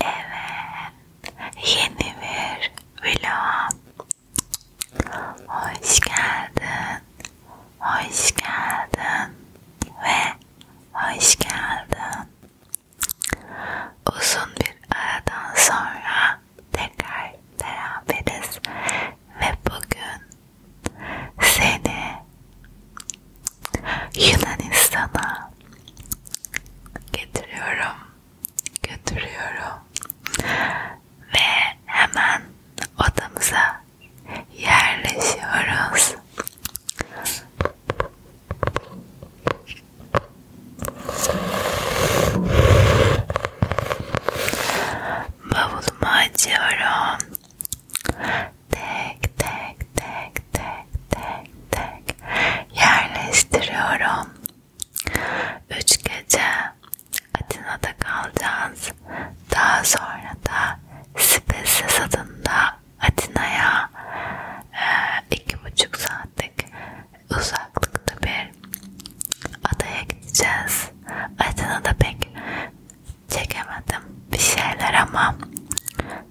Evet, yeni bir vlog. Hoş geldin, hoş geldin ve hoş geldin. Uzun bir aradan sonra tekrar beraberiz ve bugün seni Yunanistan'a getiriyorum, götürüyorum ve hemen odamıza yerleşiyoruz. Bavulumu açıyorum tek tek tek tek tek tek yerleştiriyorum. Üç gece Atina'da kalacağız. Daha sonra da Spesies adında Atina'ya e, iki buçuk saatlik uzaklıkta bir adaya gideceğiz. Atina'da pek çekemedim bir şeyler ama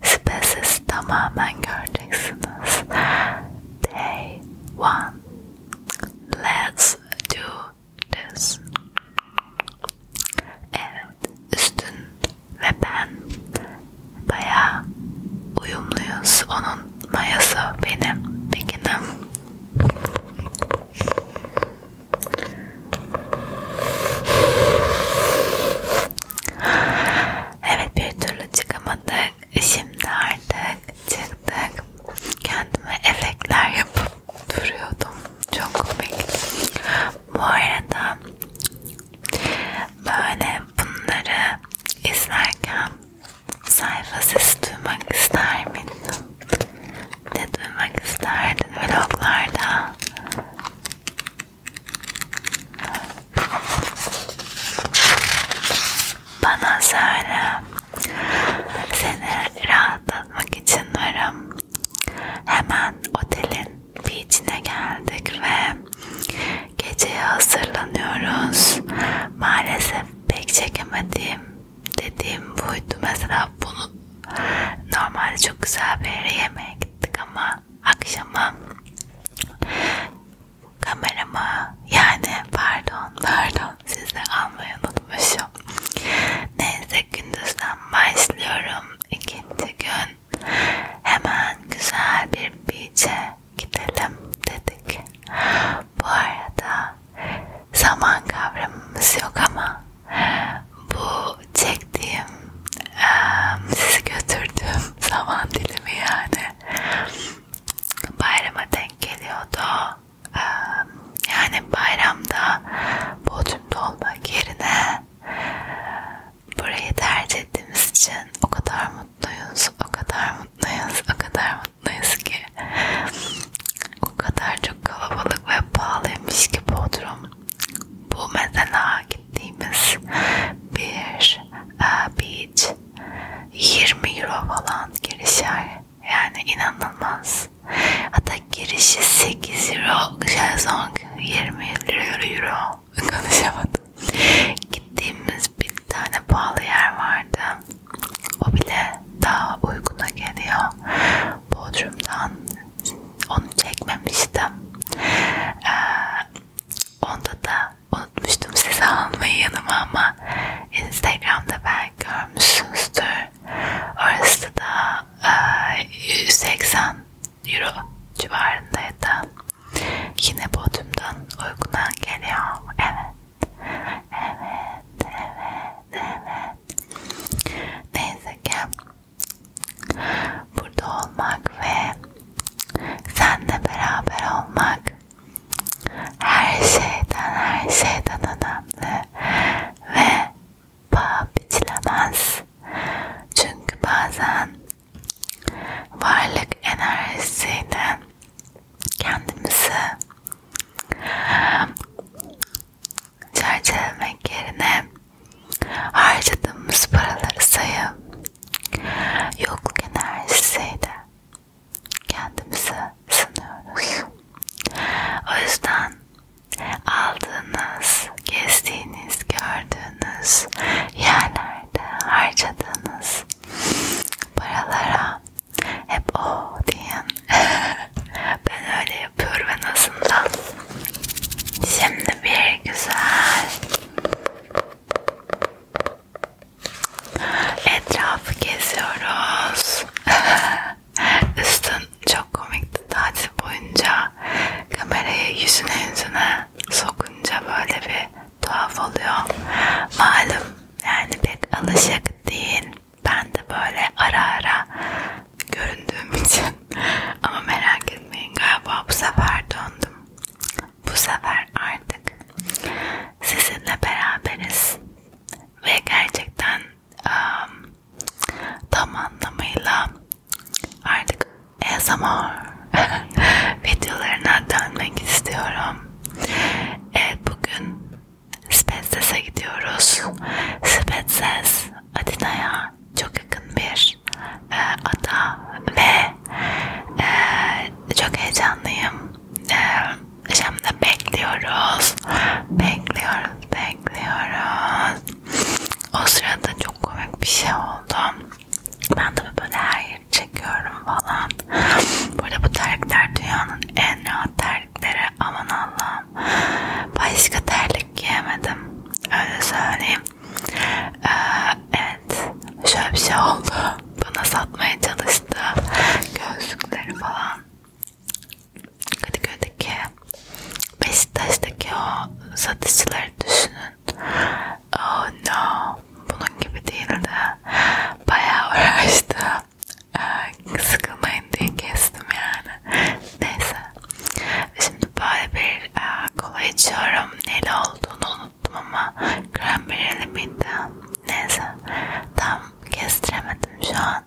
Spaces tamamen göreceksiniz. Day one. Let's do this. Evet, üstün ve ben bayağı uyumluyuz. Onun mayası benim. Bekinim. Evet bir türlü çıkamadık. Şimdi artık çıktık. Kendime efektler yapıp duruyordum. Çok komik. Bu arada böyle bunları izlerken sayfa sesi duymak ister miydim? Ne duymak isterdin vloglarda? Bana söyle. Seni rahatlatmak için varım. Hemen otelin beach'ine geldik ve geceye hazırlanıyoruz. Maalesef pek çekemediğim dediğim buydu. Mesela bunu normalde çok güzel bir yere yemeğe gittik ama akşamı kameramı yani pardon pardon sizi almayı unutmuşum. Neyse gündüzden başlıyorum ikinci gün. Hemen güzel bir beach'e gidelim dedik. Bu arada zaman kavramımız yok ama bu çektiğim e, sizi götürdüğüm zaman dilimi yani bayrama denk geliyordu. E, yani bayramda Bodrum'da olmak yerine burayı tercih ettiğimiz için o kadar mutluyuz, o kadar mutluyuz, o kadar mutluyuz ki o kadar çok kalabalık ve pahalıymış ki Bodrum. Bu mesela gittiğimiz bir e, beach 20 euro falan girişer yani inanılmaz hatta girişi 8 euro şezlong 20 euro konuşamadım gittiğimiz bir tane pahalı yer vardı o bile daha uyguna geliyor Bodrum'dan onu çekmemiştim. Ee, onda da unutmuştum size almayı yanıma ama Instagram'da belki görmüşsünüzdür. Orası da e, 180 euro civarındaydı. Yine Bodrum'dan uyguna geliyor. Evet. Evet, evet, evet. Neyse ki burada olmak ve senle beraber olmak her şeyden her şeyden önemli ve paha biçilemez çünkü bazen varlık enerjisiyle kendimizi çerçevelemek yerine harcadığımız paraları sayıp yokluk enerjisiyle kendimizi sınıyoruz. O yüzden aldığınız, gezdiğiniz, gördüğünüz yerlerde harcadığınız paralara hep o diyen ben öyle yapıyorum en azından Şimdi bir güzel etrafı geziyoruz. Üstün çok komikti tatil boyunca kamerayı yüzüne yüzüne sokunca böyle bir tuhaf oluyor. Malum yani pek alışık değil. Ben de böyle ara ara göründüğüm için ama merak etmeyin galiba bu sefer döndüm. Bu sefer artık sizinle beraberiz ve gerçekten um, tam anlamıyla artık ASMR videolarına dönmek istiyorum. Evet bugün Spetses'e gidiyoruz. Spetses Atina'ya çok yakın bir e, ada ve e, çok heyecanlıyım. E, şimdi bekliyoruz, bekliyoruz, bekliyoruz. O sırada çok komik bir şey oldu. Ben de böyle her yeri çekiyorum falan. Burada bu terlikler dünyanın en rahat terlikleri. Aman Allah'ım. Başka terlik pek giyemedim. Öyle söyleyeyim. Ee, evet. Şöyle bir şey oldu. Bana satmaya çalıştı. Gözlükleri falan. Kadıköy'deki Beşiktaş'taki o satışçıları düşünün. Oh no. Bunun gibi değildi. Bayağı uğraştı. Ee, sıkılmayın diye kestim yani. Neyse. Şimdi böyle bir e, kola içiyorum. Neyle olduğunu unuttum ama cranberry'li miydi? Neyse tam kestiremedim şu an.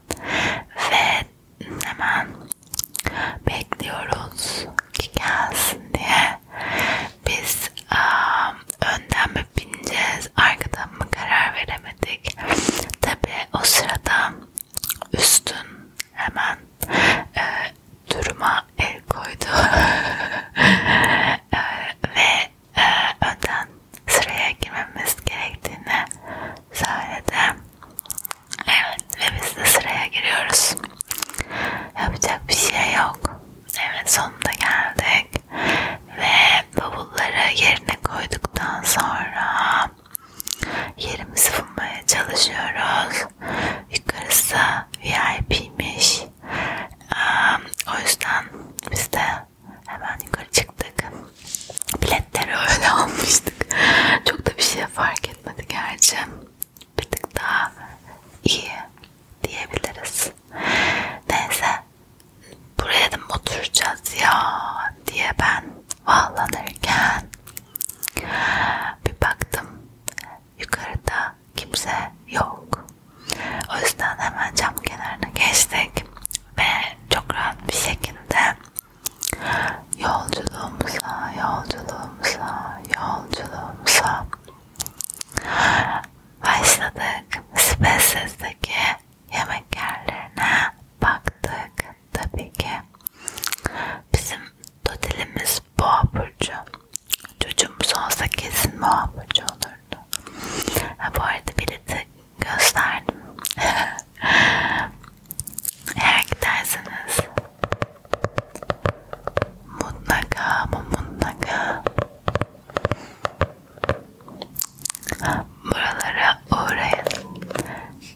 Ve hemen bekliyoruz ki gelsin diye. Biz e, önden mi bineceğiz arkadan mı karar veremedik. Tabi o sırada Üstün hemen e, duruma el koydu e, ve e, önden sıraya girmemiz gerektiğini söyledi. Evet ve biz de sıraya giriyoruz. Yapacak bir şey yok. Evet sonunda geldik ve bavulları yerine koyduktan sonra sonra yerimizi bulmaya çalışıyoruz. Yukarısı VIP'miş. Um, o yüzden biz de hemen yukarı çıktık. Biletleri öyle almıştık. Çok da bir şey fark etmedi gerçi. Bir tık daha iyi diyebiliriz. Neyse buraya da mı oturacağız ya diye ben vallanırken bir baktım yukarıda kimse yok. O yüzden hemen cam kenarına geçtik ve çok rahat bir şekilde yolculuğumuza, yolculuğumuza, yolculuğumuza başladık. Spaces'deki yemek yerlerine baktık tabii ki bizim totelimiz boğa burcu. Çocuğumuz olsa kesin boğa burcu olurdu. Ha, bu arada bileti gösterdim. Eğer giderseniz mutlaka ama mutlaka buralara uğrayın.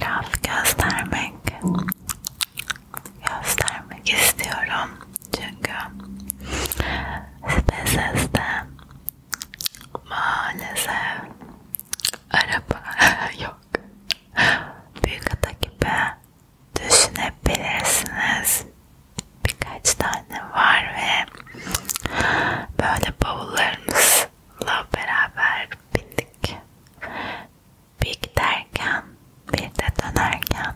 laf göstermek göstermek istiyorum çünkü SPSS'de maalesef araba yok büyük ada gibi düşünebilirsiniz birkaç tane var ve böyle bavullarımızla beraber bindik bir giderken bir de dönerken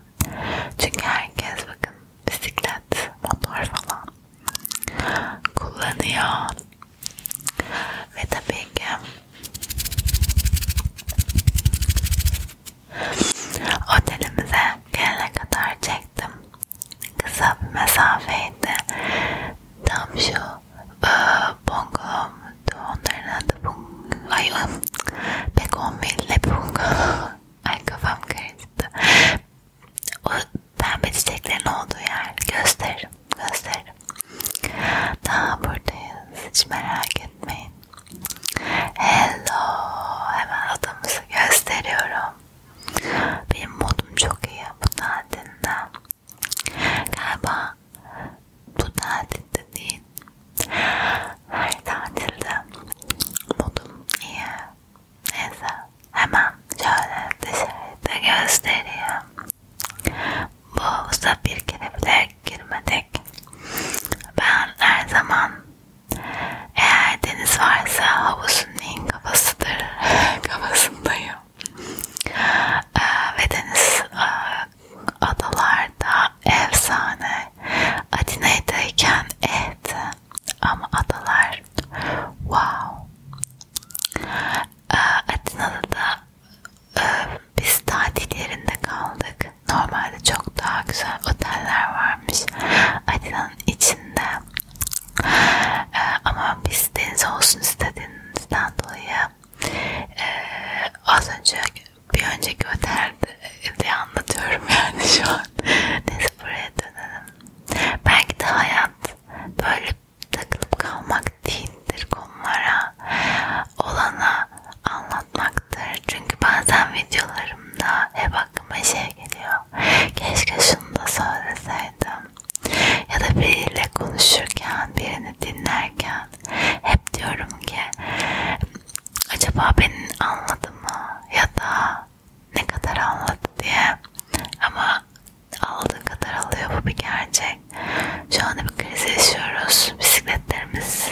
çünkü herkes bakın bisiklet motor falan kullanıyor ve tabii ki otelimize gelene kadar çektim kısa bir mesafeydi tam şu Bongom onların adı Bong ay Begonville Bongom ay kafam karıştı o pembe çiçeklerin olduğu yer gösteririm gösteririm daha buradayız hiç merak etmeyin hello hemen odamızı gösteriyorum benim modum çok iyi bu tatilde Galiba bu tatilde değil, her tatilde modum iyi. Neyse hemen şöyle dışarıda göstereyim. Bu havuza bir kere bile girmedik. Ben her zaman eğer deniz varsa havuzun en kafasıdır kafasındayım. Ee, ve deniz e, adalarda efsane. Atina'dayken evet ama adalar wow. Ee, Atina'da da e, biz tatil yerinde kaldık. Normalde çok daha güzel oteller varmış Atina'nın içinde. Ee, ama biz deniz olsun istediğimizden dolayı ee, az önce bir önceki otelde anlatıyorum yani şu an. Neyse buraya dönelim. Belki de hayat böyle takılıp kalmak değildir konulara. Olana anlatmaktır. Çünkü bazen videolarımda hep aklıma şey geliyor. Keşke şunu da söyleseydim ya da biriyle konuşurken, birini dinlerken hep diyorum ki acaba beni anladı mı ya da ne kadar anladı diye ama aldığı kadar alıyor bu bir gerçek. Şu anda bir kriz yaşıyoruz. Bisikletlerimiz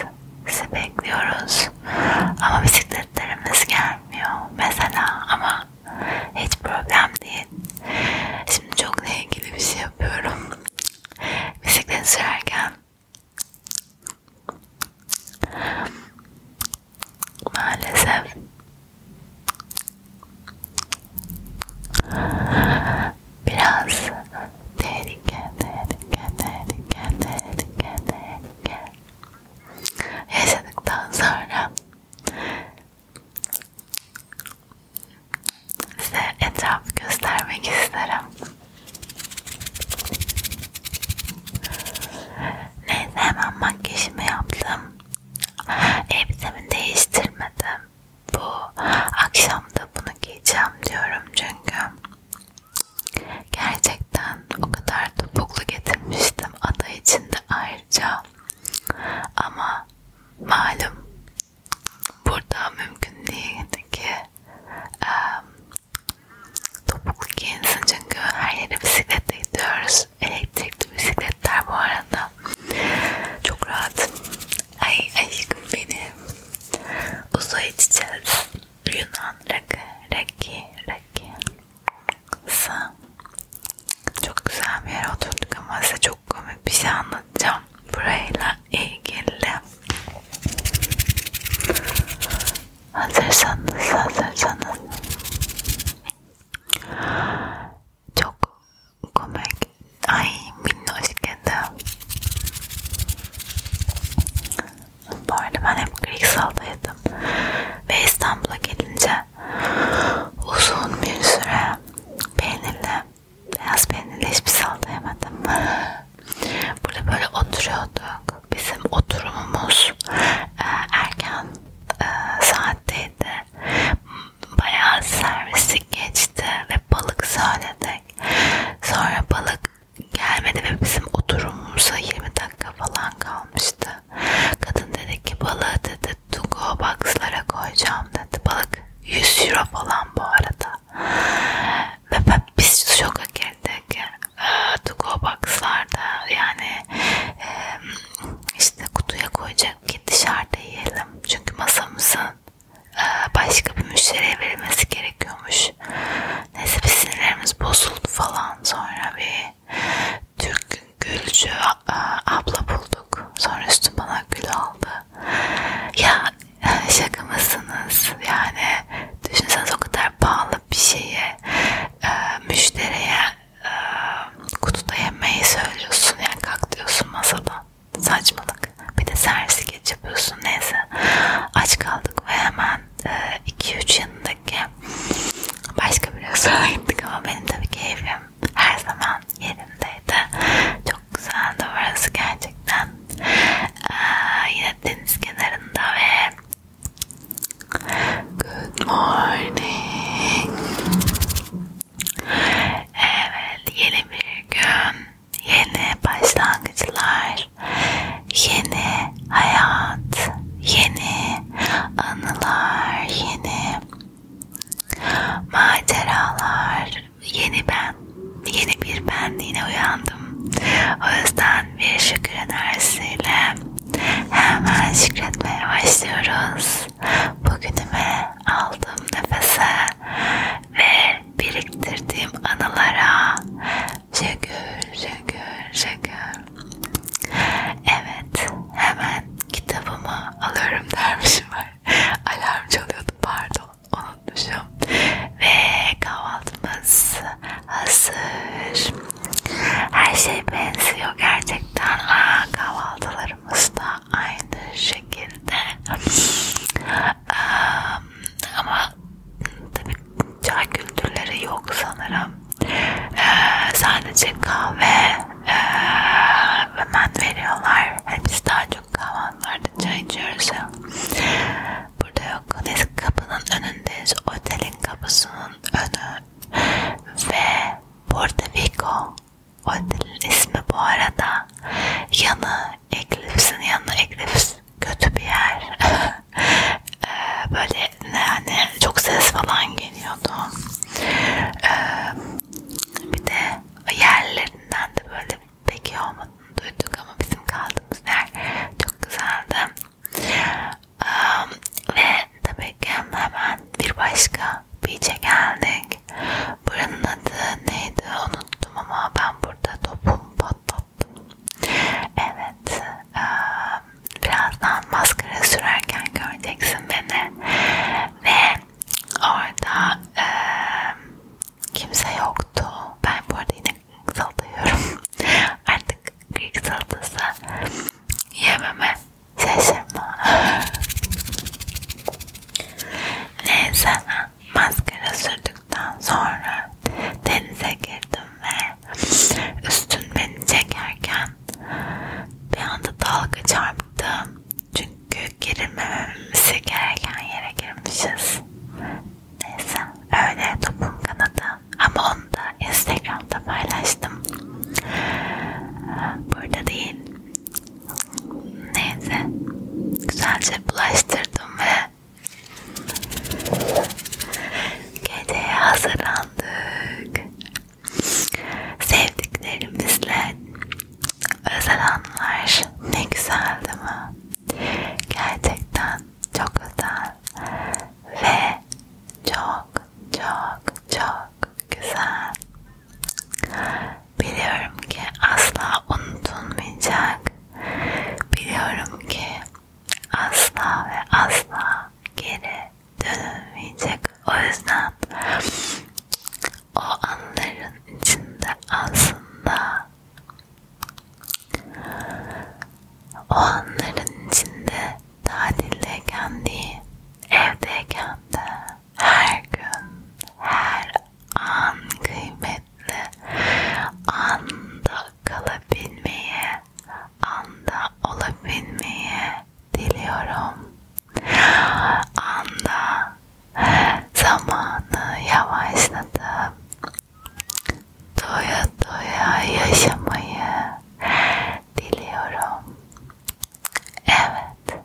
bizi bekliyoruz. Ama bisikletlerimiz gelmiyor mesela ama hiç problem değil bekleyin. Şimdi çok ne ilgili bir şey yapıyorum. Bisiklet sürerken maalesef biraz tehlike, tehlike, tehlike, tehlike, tehlike yaşadıktan sonra Size etraf göstermek isterim. Neyse hemen makyajımı yaptım. Elbisemi değiştirmedim. Bu akşam da bunu giyeceğim diyorum çünkü gerçekten o kadar topuklu getirmiştim ada içinde ayrıca ama malum burada mümkün değil ki um, topuklu giyinsin çünkü her yere bisikletle gidiyoruz. Elektrikli bisikletler bu arada. Çok rahat. Ay aşkım benim. Uzay içeceğiz. Yunan rakı, rakı, rakı. Çok güzel bir yere oturduk ama size çok çok komik bir şey anlatacağım burayla ilgili. Hazırsanız, hazırsanız. Çok komik. Ay minnoş kedi. Bu arada ben hep Grigsal'daydım. Ve İstanbul'a gelince uzun bir süre peynirle Beyaz peynirli hiçbir salata şey yemedim. Burada böyle oturuyorduk. Bizim oturumumuz e, erken e, saatteydi. Bayağı servisi geçti ve balık söyledik. Sonra balık gelmedi ve bizim oturumumuza 20 dakika falan kalmıştı. Kadın dedi ki balığı dedi dedi Tungo box'lara koyacağım dedi. Balık 100 euro falan bu arada. Ve biz şoka girdik. Ee, Tungo box'larda yani e, işte kutuya koyacak ki dışarıda yiyelim. Çünkü masamızın e, başka bir müşteriye verilmesi gerekiyormuş. Neyse biz sinirlerimiz bozuldu falan sonra bir Türk Gülcü e, abla buldu konuştuk. Sonra üstüm bana gül aldı. Ya şaka mısınız? Yani düşünseniz o kadar pahalı bir şeye müşteriye e, kutuda yemeği söylüyorsun. Yani kalk diyorsun masadan. Saçmalık. Bir de servis geç yapıyorsun. Neyse. Aç kaldık ve hemen 2-3 e, yanındaki başka bir restorana gittik ama benim tabii keyfim her zaman yerindeydi. Çok güzeldi orası gerçekten. Ee, yine deniz kenarında ve Good morning. Evet, yeni bir gün, yeni başlangıçlar, yeni hayat, yeni anılar, yeni Maceralar, yeni ben, yeni bir benliğine uyandım. O yüzden bir şükür enerjisiyle hemen şükretmeye başlıyoruz. Bugünüme aldığım nefese ve biriktirdiğim anılara şükür, şükür, şükür. Evet, hemen kitabımı alıyorum dermişim var. Alarm çalıyordu pardon unutmuşum. Ve kahvaltımız hazır. Her şey benziyor gerçekten. Aa, kahvaltılarımız da aynı şekilde. um, ama tabii çay kültürleri yok sanırım. Ee, sadece kahve ömen veriyorlar. Hani biz daha çok kahvaltılarda çay içiyoruz ya. Burada yok. Neyse kapının önündeyiz. Otelin kapısının önü. Ve Porto Rico. Otelin ismi bu arada. Yanı Eclipse'in yanı Eclipse kötü bir yer. ee, böyle yani çok ses falan geliyordu. Ee, bir de yerlerinden de böyle pek iyi olmadığını duyduk ama bizim kaldığımız yer çok güzeldi. Um, ve tabii ki hemen bir başka beach'e geldik. Buranın adı neydi unuttum ama ben burada topumu patlattım. Evet, um, birazdan maskara sürerken göreceksin beni ve Orada e, kimse yoktu. Ben bu arada yine salıyorum. Artık Greek salatası yememe şaşırma. Neyse maskara sürdükten sonra denize girdim ve üstün beni çekerken bir anda dalga çarptı. Çünkü çünkü girmememize gereken yere girmişiz. Neyse öyle topun kanadı. Ama onu da Instagram'da paylaştım. Burada değil. Neyse. Güzelce bulaştırdım ve geceye hazırlandık. Sevdiklerimizle özel anlar ne güzel değil mi? Gerçekten çok özel ve çok çok çok güzel. Biliyorum ki asla unutulmayacak. Biliyorum ki asla ve asla geri dönmeyecek. O yüzden o anların içinde aslında o anların içinde tatildeyken değil, evdeyken de her gün, her an kıymetli anda kalabilmeye, anda olabilmeye diliyorum. Anda zamanı yavaşladım. Doya doya yaşamayı diliyorum. Evet.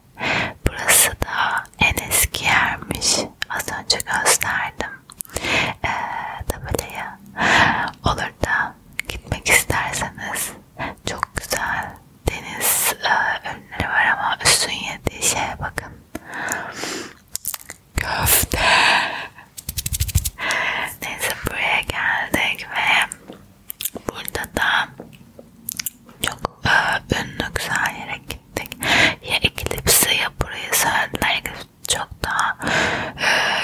Burası da en eski yermiş. Az önce gösterdim. Ee, tabelayı. Olur da gitmek isterseniz çok güzel deniz e, ürünleri var ama üstün yediği şeye bakın. Köfte. Neyse buraya geldik ve burada da çok e, ünlü güzel yere gittik. Ya Eclipse'i ya burayı söylediler. Eclipse çok daha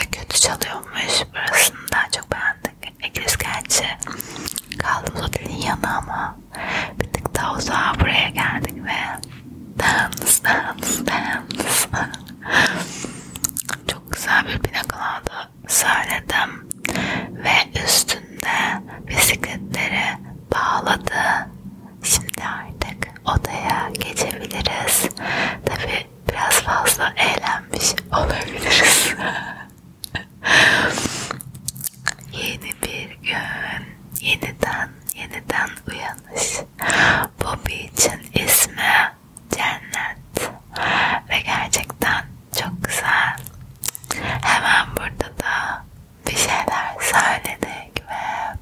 e, kötü çalıyormuş. Burasını daha çok beğendik. Eglis gerçi kaldığımız otelin yanı ama bir tık daha uzağa buraya geldik ve dance dance dance çok güzel bir pinakolada söyledim ve üstünde bisikletleri bağladı şimdi artık odaya geçebiliriz tabi biraz fazla eğlenmiş olabiliriz Yeni bir gün, yeniden yeniden uyanış. Bobby için ismi Cennet ve gerçekten çok güzel. Hemen burada da bir şeyler söyledik ve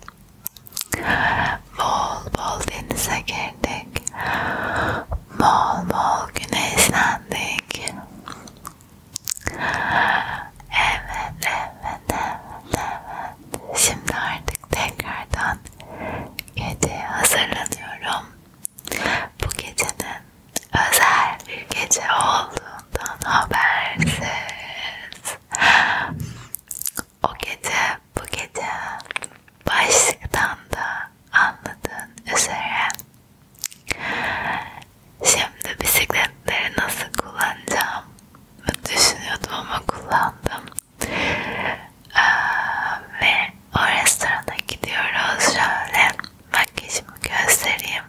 bol bol denize girdik. Bol bol güneşlendik peki? Evet, evet, evet, evet. Şimdi artık tekrardan geceye hazırlanıyorum. Bu gecenin özel bir gece olduğundan habersiz. O gece, bu gece başlıktan da anladığın üzere şimdi bisikletleri nasıl kullanacağım düşünüyordum ama kullandım ee, ve o restorana gidiyoruz şöyle makyajımı göstereyim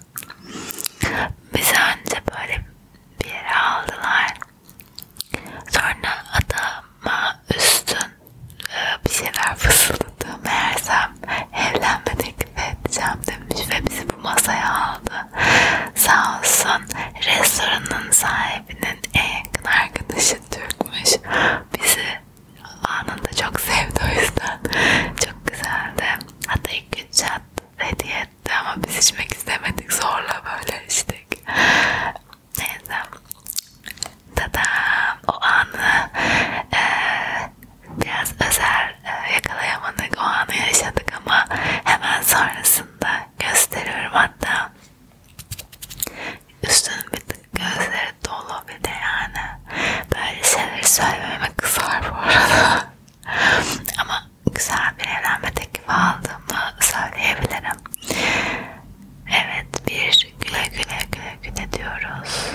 bizi önce böyle bir yere aldılar sonra adama üstün ee, bir şeyler fısıldadı. Meğersem evlenme teklif edeceğim demiş ve bizi bu masaya aldı. Sağ olsun restoranın sahibinin en yakın arkadaşı Türkmüş. Bizi anında çok sevdi o yüzden. Çok güzeldi. Hatta ilk gün çat hediye etti ama biz içmek istemedik. Zorla böyle içtik. Neyse. Tadam! O anı e, biraz özel e, yakalayamadık. O anı yaşadık ama hemen sonrasında gösteriyorum hatta. Üstünün bir tık gözleri dolu bir de yani. Böyle şeyleri söylememe kızar bu arada. ama güzel bir evlenme teklifi aldığımı söyleyebilirim. Evet bir güle güle güle güle diyoruz.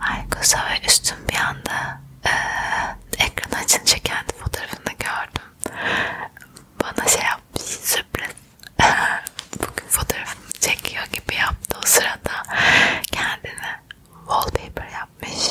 Ay kısa ve üstüm bir anda e, ekran açınca kendi fotoğrafını gördüm. Bana şey yapmış sürpriz. Bugün fotoğrafımı çekiyor gibi yaptı o sırada. Kendine wallpaper yapmış.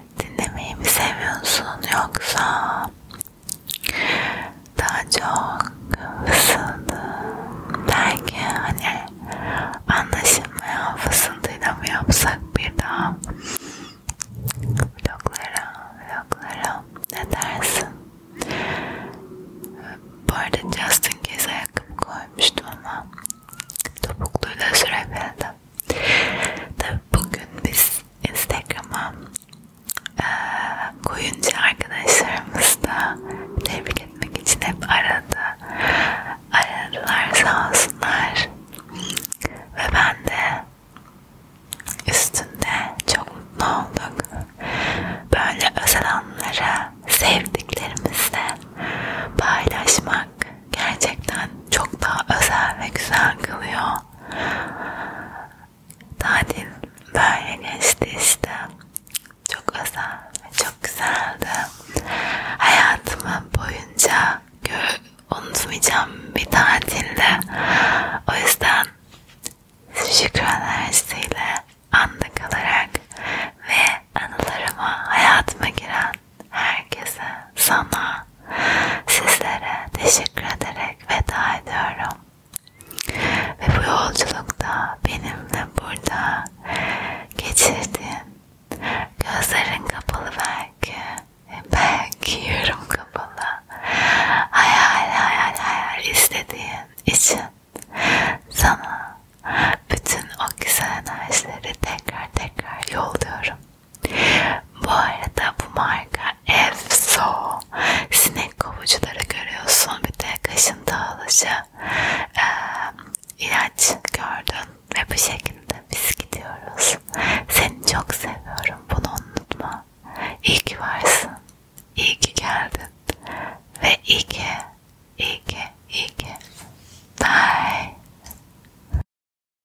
dinlemeyi mi seviyorsun yoksa daha çok fısıldı belki hani anlaşılmayan fısıltıyla mı yapsak bir daha vloglara vloglara ne dersin bu arada Justin Case ayakkabı koymuştum ama topukluyla sürebildim Tabii bugün biz Instagram'a e, koyunca arkadaşlarımız da tebrik etmek için hep aradı. Aradılar sağ olsunlar. Ve ben de üstünde çok mutlu olduk. Böyle özel anları sevdiklerimizle paylaşmak gerçekten çok daha özel ve güzel kılıyor. Tatil böyle geçti işte. Çok özel ve çok güzeldi. Hayatımı boyunca unutmayacağım bir tatilde. O yüzden şükür enerjisiyle anda kalarak ve anılarıma hayatıma giren herkese, sana, sizlere teşekkür ederek veda ediyorum. Ve bu yolculukta benimle burada geçirdiğin gözlerin kapalı belki belki yarım kapalı hayal hayal hayal istediğin için sana bütün o güzel enerjileri tekrar tekrar yolluyorum. Bu arada bu marka Evso sinek kovucuları görüyorsun bir de kaşın dağılıcı e, ilaç gördün ve bu şekilde biz gidiyoruz. Seni çok seviyorum bunu unutma. İyi ki varsın, iyi ki geldin ve iyi ki, iyi ki, iyi ki. Bye.